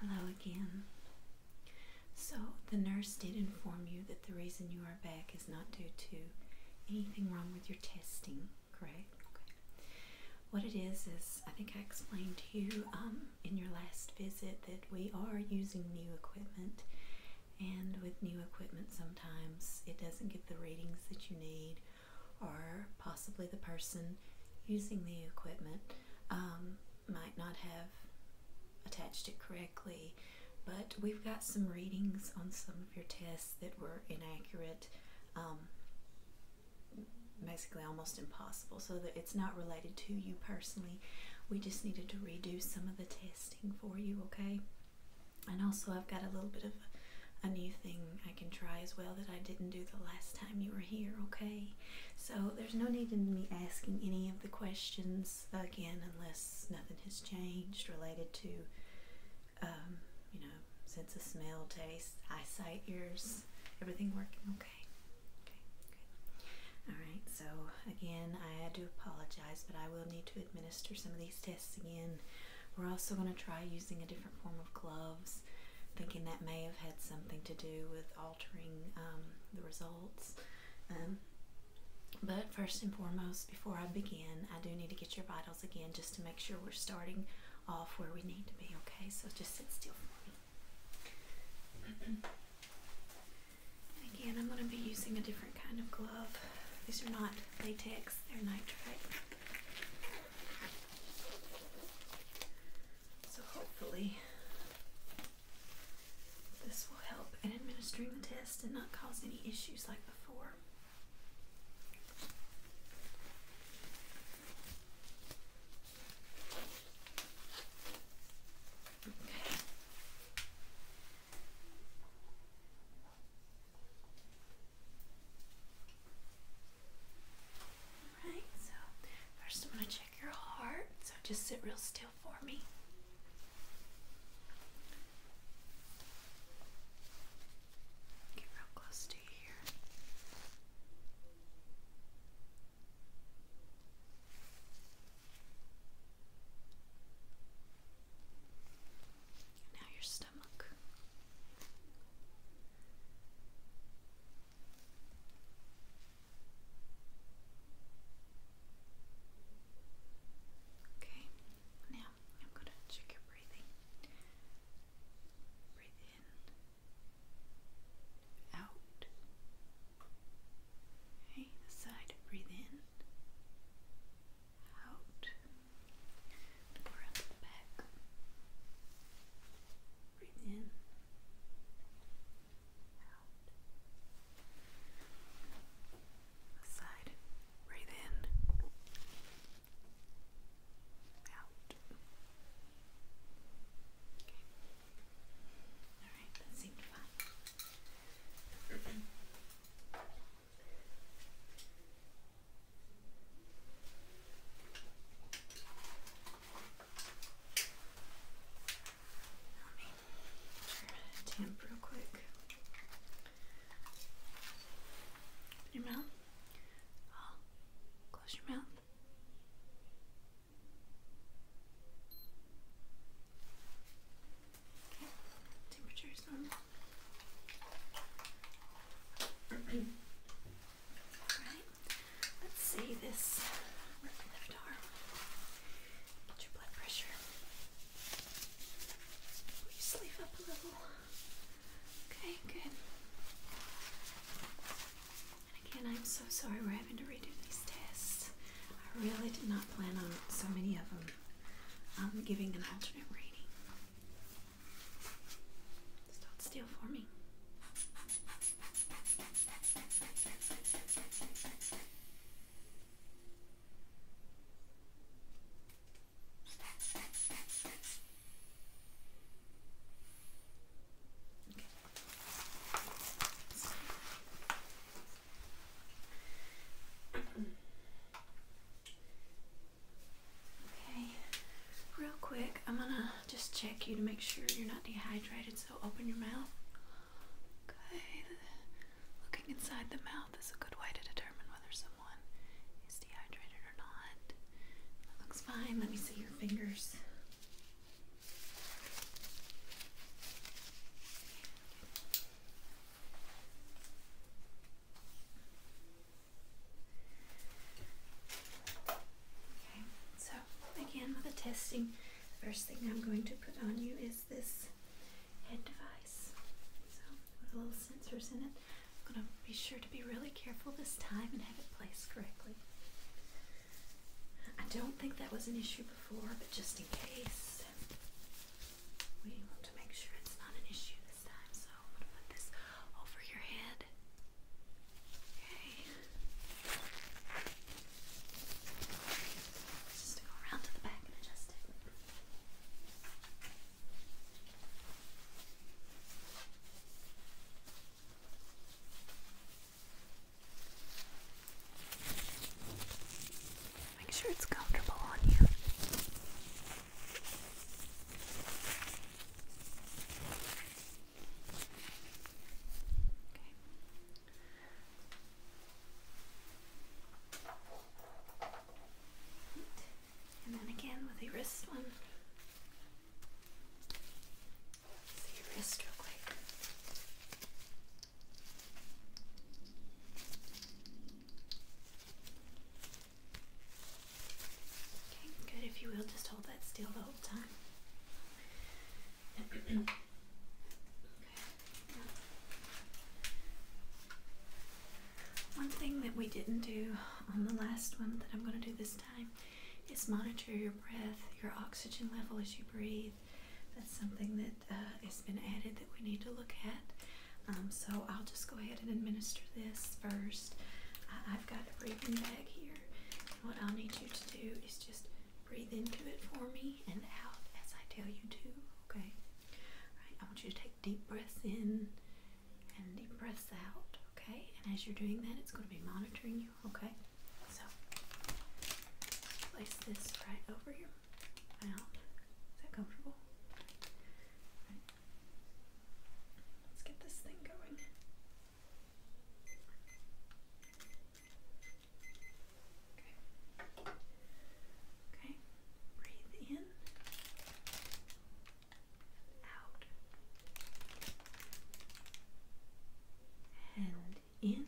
Hello again. So, the nurse did inform you that the reason you are back is not due to anything wrong with your testing, correct? What it is, is I think I explained to you um, in your last visit that we are using new equipment, and with new equipment, sometimes it doesn't get the readings that you need, or possibly the person using the equipment. Um, might not have attached it correctly, but we've got some readings on some of your tests that were inaccurate, um, basically almost impossible. So it's not related to you personally. We just needed to redo some of the testing for you, okay? And also, I've got a little bit of a new thing I can try as well that I didn't do the last time you were here, okay? So there's no need in me asking any of the questions again unless nothing has changed related to, um, you know, sense of smell, taste, eyesight, ears, everything working okay. Okay, good. All right, so again, I do apologize, but I will need to administer some of these tests again. We're also going to try using a different form of gloves, thinking that may have had something to do with all altering um, the results. Um, but first and foremost, before I begin, I do need to get your vitals again just to make sure we're starting off where we need to be, okay? So just sit still for me. again, I'm going to be using a different kind of glove. These are not latex, they're nitrate. So hopefully this will help in administering the test and not cause any issues like before. Okay. Alright, so first I'm going to check your heart. So just sit real still for me. Get real close to you here. Now your stomach. Okay, now I'm going to check your breathing. Breathe in, out. Okay, the side, breathe in, out. the back. Breathe in. Out. Side. in. Out. Alright, that seemed fine. Damp real quick. your mouth. close your mouth. Okay. Temperature is normal. let's see this with your blood pressure. sleeve up a little? Okay, good. again, I'm so sorry we're having to redo these tests. I really did not plan on so many of them I'm um, giving an alternate rating. Just hold still for me. Okay, real quick, I'm gonna just check you to make sure you're not dehydrated. So open your mouth. Okay. Looking inside the mouth is a good way to determine whether someone is dehydrated or not. looks fine. Let me see your fingers. Okay, so again with the testing, the first thing I'm going to put on you is this head device. So with little sensors in it. I'm gonna be sure to be really careful this time and have it placed correctly. I don't think that was an issue before, but just in case, we want to make sure it's not an issue this time. So I'm gonna put this over your head. Just go around to the back and adjust it. Make sure it's comfortable on you. And then again with the wrist one. See your wrist real quick. Okay, good. If you will, just hold that still the whole time. okay. One thing that we didn't do on the last one that I'm going to do this time is monitor your breath, your oxygen level as you breathe. That's something that uh, has been added that we need to look at. Um, so I'll just go ahead and administer this first. I've got a breathing bag here. What i need you to do is just breathe into it for me and out as I tell you to, okay? Alright, I want you to take deep breaths in and deep breaths out, okay? And as you're doing that, it's going to be monitoring you, okay? So, place this right over your mouth. Is that comfortable? Let's get this thing going. Okay. Okay. Breathe in. Out. And in.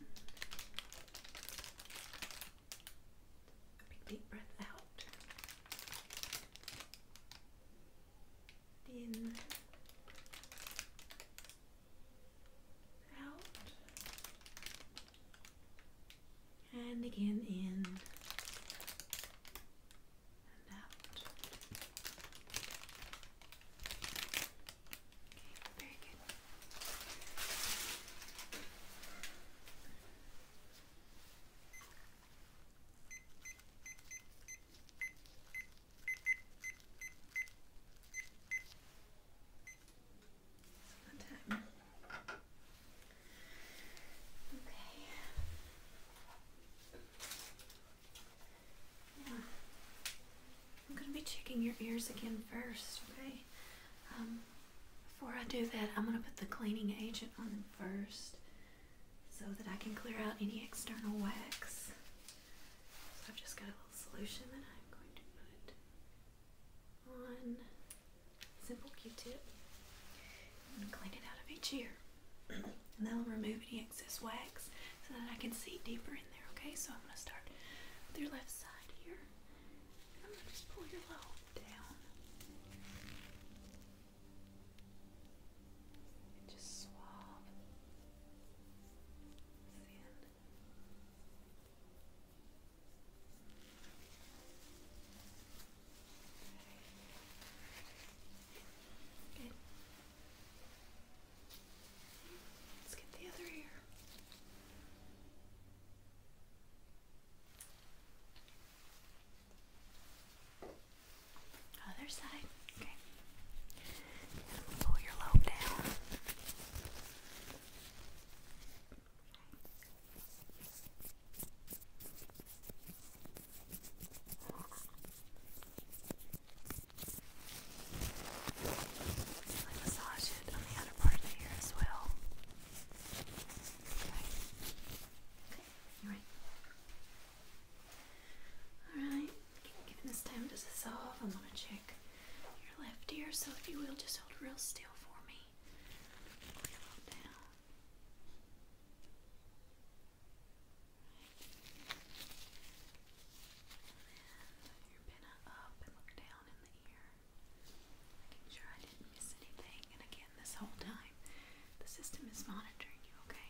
Big deep breath out in out and again in and out. Okay, very good. Okay. Yeah. I'm gonna be checking your ears again first, okay? Um, before I do that, I'm gonna put the cleaning agent on first so that I can clear out any external wax. So I've just got a little solution that I'm going to put on simple Q-tip and clean it out of each ear. and that'll remove any excess wax so that I can see deeper in there, okay? So I'm going to start with your left side here. And I'm going to just pull your lobe down just swab sand. Good. Let's get the other ear. Other side. Okay. pull your lobe down. massage it on the other part of the ear as well. Okay. Okay. You ready? Alright, given this time to dissolve, I'm going to check your left ear, so if you will, just hold real still for me. Down. your pinna up and look down in the ear. Making sure I didn't miss anything. And again, this whole time, the system is monitoring you, okay?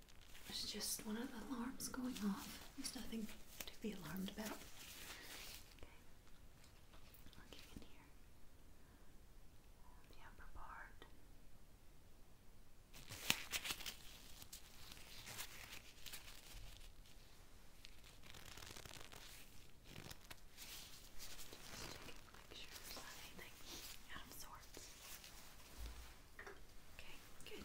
It's just one of the alarms going off. There's nothing to be alarmed about. Okay. Looking in here. The upper part. Just taking pictures of out of sorts. Okay, good.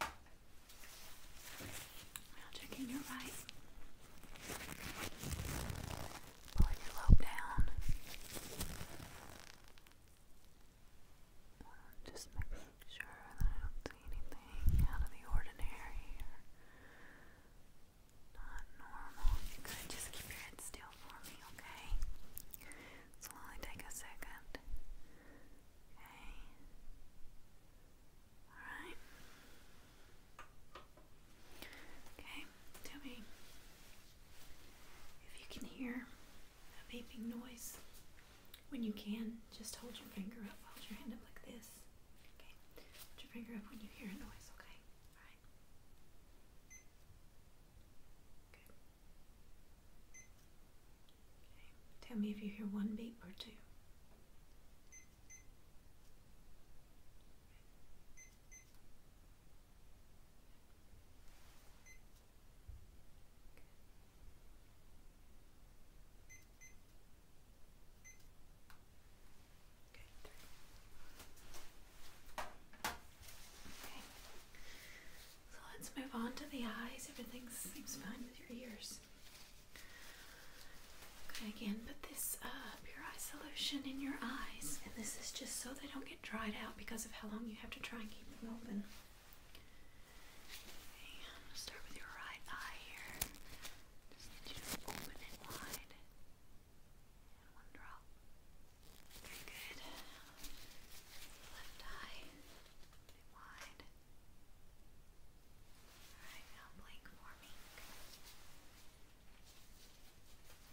Now checking your right. Pulling your lobe down. Just making sure that I don't see anything out of the ordinary or not normal. you could just keep your head still for me, okay? This will only take a second. Okay. Alright. Okay, tell if you can hear a beeping noise. When you can, just hold your finger up. Hold your hand up like this. Okay. Hold your finger up when you hear a noise, okay? Alright. Tell me if you hear one beep or two. Okay, So let's move on to the eyes. Everything seems fine with your ears. Okay, again, put this uh, pure eye solution in your eyes, and this is just so they don't get dried out because of how long you have to try and keep them open. Okay, start with your right eye here. Just need you to open it wide. And one drop. Very good. Left eye. wide. Alright, now blink for me.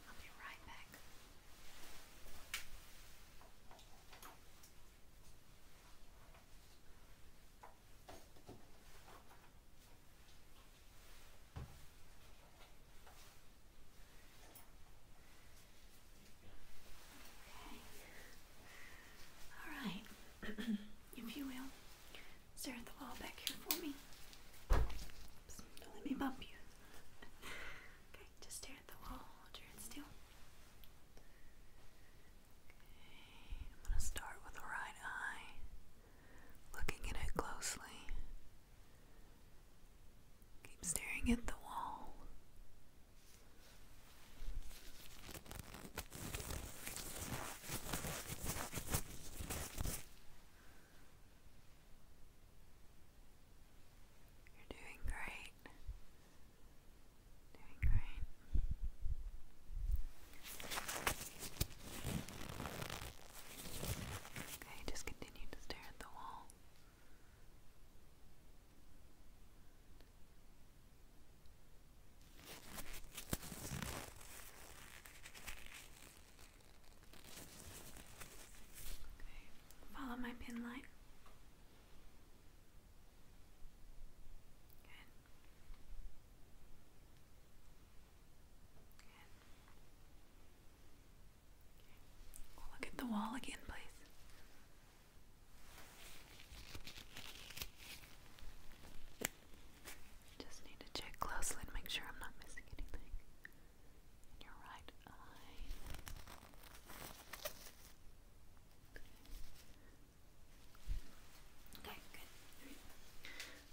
I'll be right back. All right, if you will, stare at the wall back here for me. don't let me bump you. okay, just stare at the wall. Hold your head still. Okay, I'm gonna start with the right eye, looking at it closely. Keep staring at the wall. You're doing great. Doing great. Okay, just continue to stare at the wall. Okay, follow my pin line. Good. Good look at the wall again, please. Just need to check closely and make sure I'm not missing anything. your right eye. Okay, good.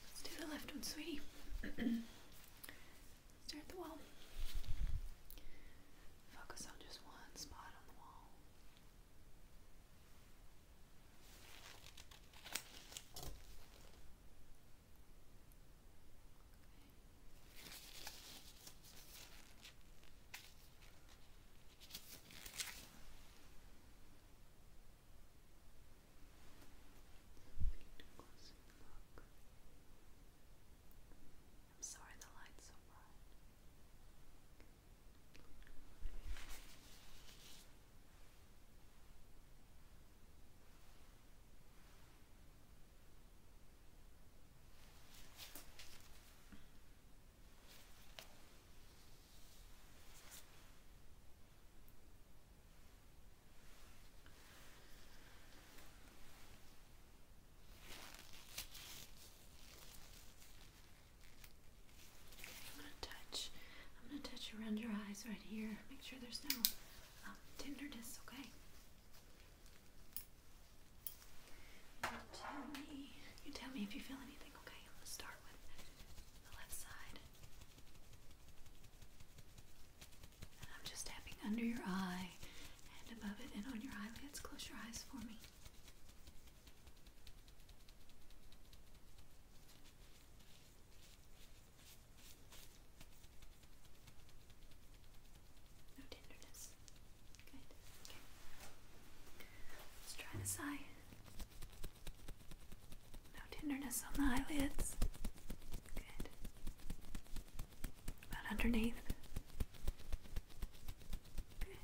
Let's do the left one, sweetie. Stare at the wall. Focus on just one spot on the wall need a I'm sorry the light's so bright. I'm gonna touch. I'm gonna touch around your eyes right here. Make sure there's no um, tenderness. Okay. You tell me. You tell me if you feel anything. Okay. I'm start with the left side. I'm just tapping under your eye and above it and on your eyelids. Close your eyes for me. No tenderness. Good. Let's try this eye. No tenderness on the eyelids. Good. About underneath. Good.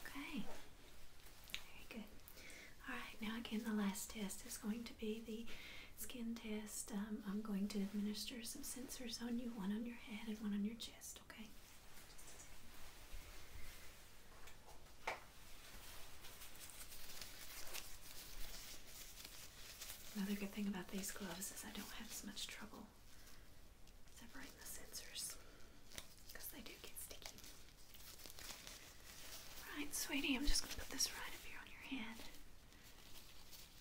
Okay. Very good. Alright, now again, the last test is going to be the skin test. Um, I'm going to administer some sensors on you, one on your head and one on your chest, okay? Another good thing about these gloves is I don't have as much trouble separating the sensors because they do get sticky. Right, sweetie, I'm just going to put this right up here on your head. Does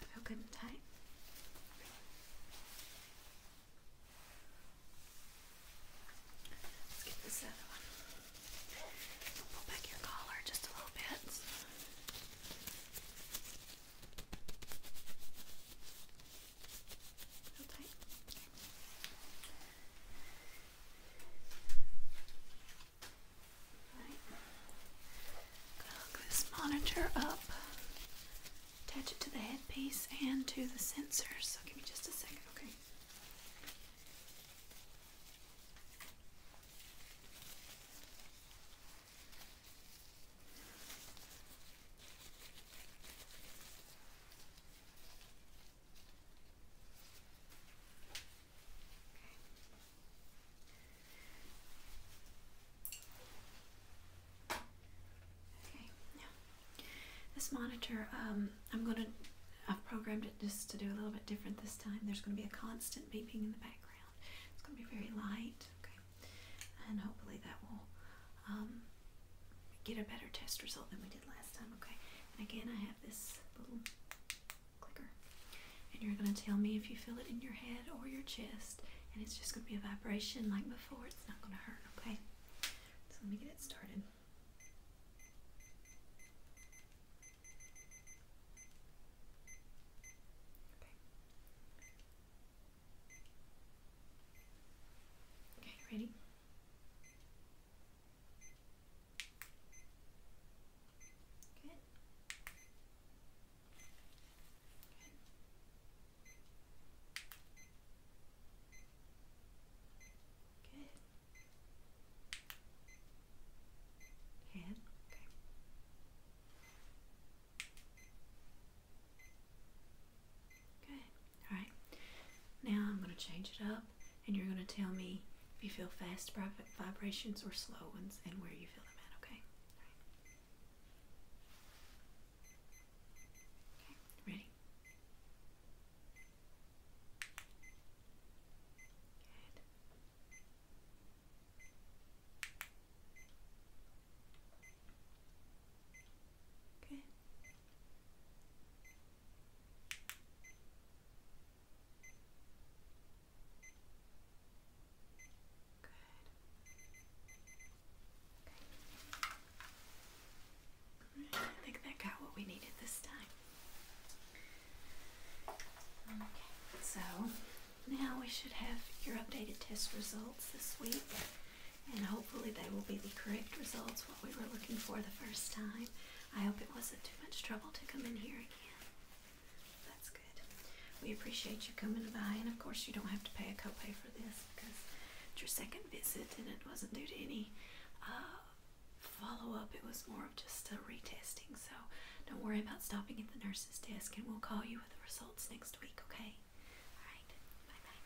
that feel good and tight? Let's get this other one. Pull back your collar just a little bit hook this monitor up, attach it to the headpiece and to the sensor. So give me just a second, this monitor, um, I'm going to, I've programmed it just to do a little bit different this time. There's going to be a constant beeping in the background. It's going to be very light, and hopefully that will um, get a better test result than we did last time, okay? And again, I have this little clicker. And you're going to tell me if you feel it in your head or your chest. And it's just going to be a vibration like before. It's not going to hurt, okay? So let me get it started. Okay. ready? Good. Good. Good. Hand. Okay. Good. All right. Now I'm going to change it up, and you're going to tell me if you feel fast vibrations or slow ones, and where you feel them at. Okay. Ready. Okay. Good. Okay. I think that got what we needed this time. Okay, so now we should have your updated test results this week and hopefully they will be the correct results what we were looking for the first time. I hope it wasn't too much trouble to come in here again. That's good. We appreciate you coming by, and of course you don't have to pay a copay for this because it's your second visit, and it wasn't due to any uh, follow up. It was more of just a retesting. So don't worry about stopping at the nurse's desk, and we'll call you with the results next week. Okay? All right. Bye bye.